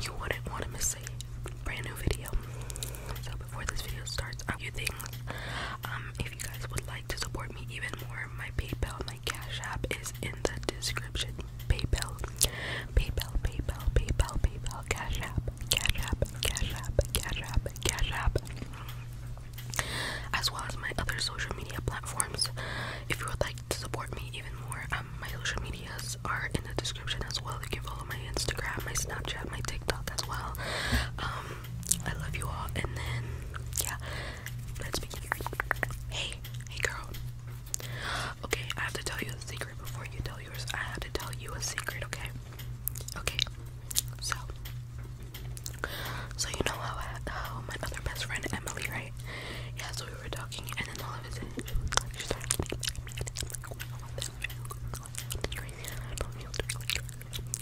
you wouldn't want to miss a brand new video. So before this video starts, a few things. Um, if you guys would like to support me even more, my PayPal, my Cash App is in the description. PayPal, PayPal, PayPal, PayPal, PayPal, Cash App, Cash App, Cash App, Cash App, Cash App. As well as my other social media platforms. If you would like to support me even more, um, my social medias are in the description as well. You can follow my Instagram, my Snapchat, my TikTok as well. Um, I love you all, and then yeah, let's begin. Hey, hey, girl. Okay, I have to tell you a secret before you tell yours. I have to tell you a secret, okay? Okay. So, so you know how I, how my other best friend Emily, right? Yeah. So we were talking, and then all of a sudden she started getting mad at me, and I'm like, wow, that's crazy, and I don't feel doing like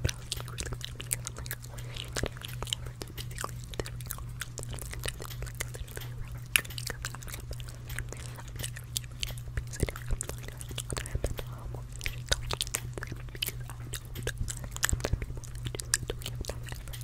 but I was getting really mad at me, because I'm like, what are you doing? I'm basically this week, I'm like, I'm literally around, because I'm like, because I don't know people that just don't have time for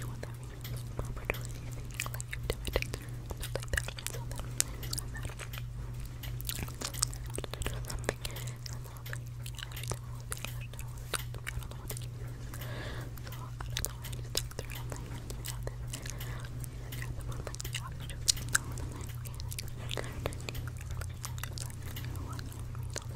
you want that means, but don't really think like you've done it stuff like that, so that means I'm out of do something, and I was like, yeah, every time I was thinking, I don't know what to do, I don't know what to do, so I don't know, I just looked through, and I'm like, you know, this, I got the one, like, the option, and I'm like, okay, like, I'm gonna do, and I was like, you know what, I mean, all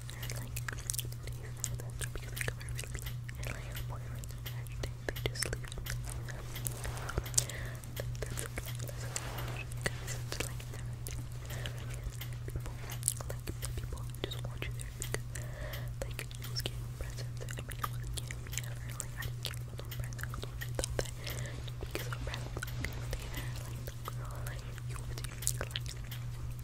they like, do you because I cover really like boyfriends they just leave That's like, that's like, it's like never do people, like, the people just want you there like, you was getting presents I mean, like, I didn't care about presents, I was always because I didn't like, like, you were doing, like,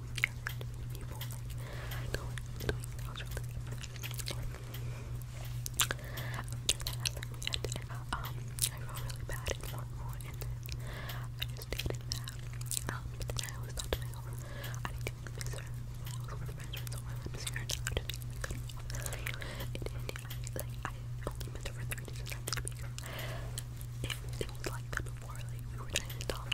with your I felt really bad and more, and I just stayed that. I always thought to myself, I didn't even miss her. I was with friends, so I would miss her, I would just be like, like, I only miss her for days, and that's it, was like that before, like, we were trying to talk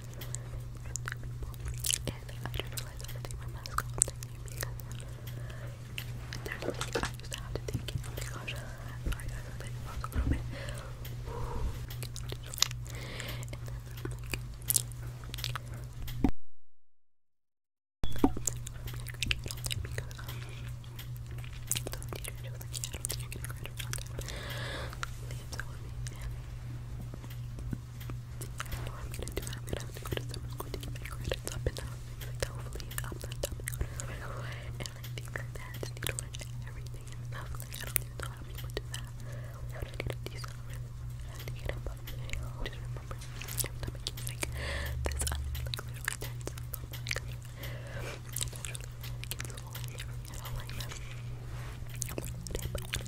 And I just realized I had to take my mask off thank you because I used to have to take it. Oh my gosh. Sorry guys, I think I a little bit know I'm gonna do that. I'm gonna have to go to summer school to get my credits up and up. Like, hopefully, I'm not dumping And I think like that, just need to learn everything and stuff. Like, I don't even know how people do that. Like, how do I get a decent grade? I have to get up on the hill. Just remember, every time I get like this, I'm like literally tense. Oh my god. Naturally, I get so old. I don't like that. I'm like, but when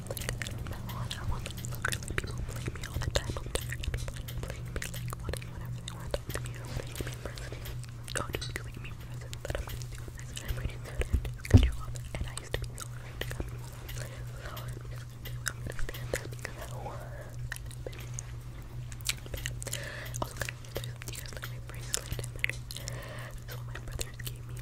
like I want to look like people blame me all the time. I'm tired of people playing me like wanting whatever they want to me me present. God is giving me presents that I'm gonna do this and I'm reading that and it's gonna do all And I used to be so afraid to come so I'm just gonna you guys like my bracelet? So my brothers gave me um,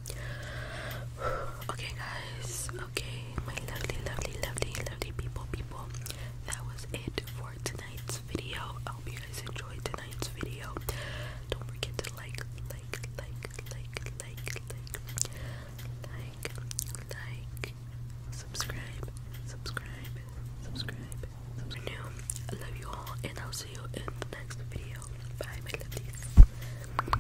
Okay, guys. Okay, my lovely, lovely, lovely, lovely people, people. That was it for tonight's video. I hope you guys enjoyed tonight's video. Don't forget to like, like, like, like, like, like, like, like, subscribe, subscribe, subscribe, subscribe. I love you all, and I'll see you in the next video. Bye, my lovelies.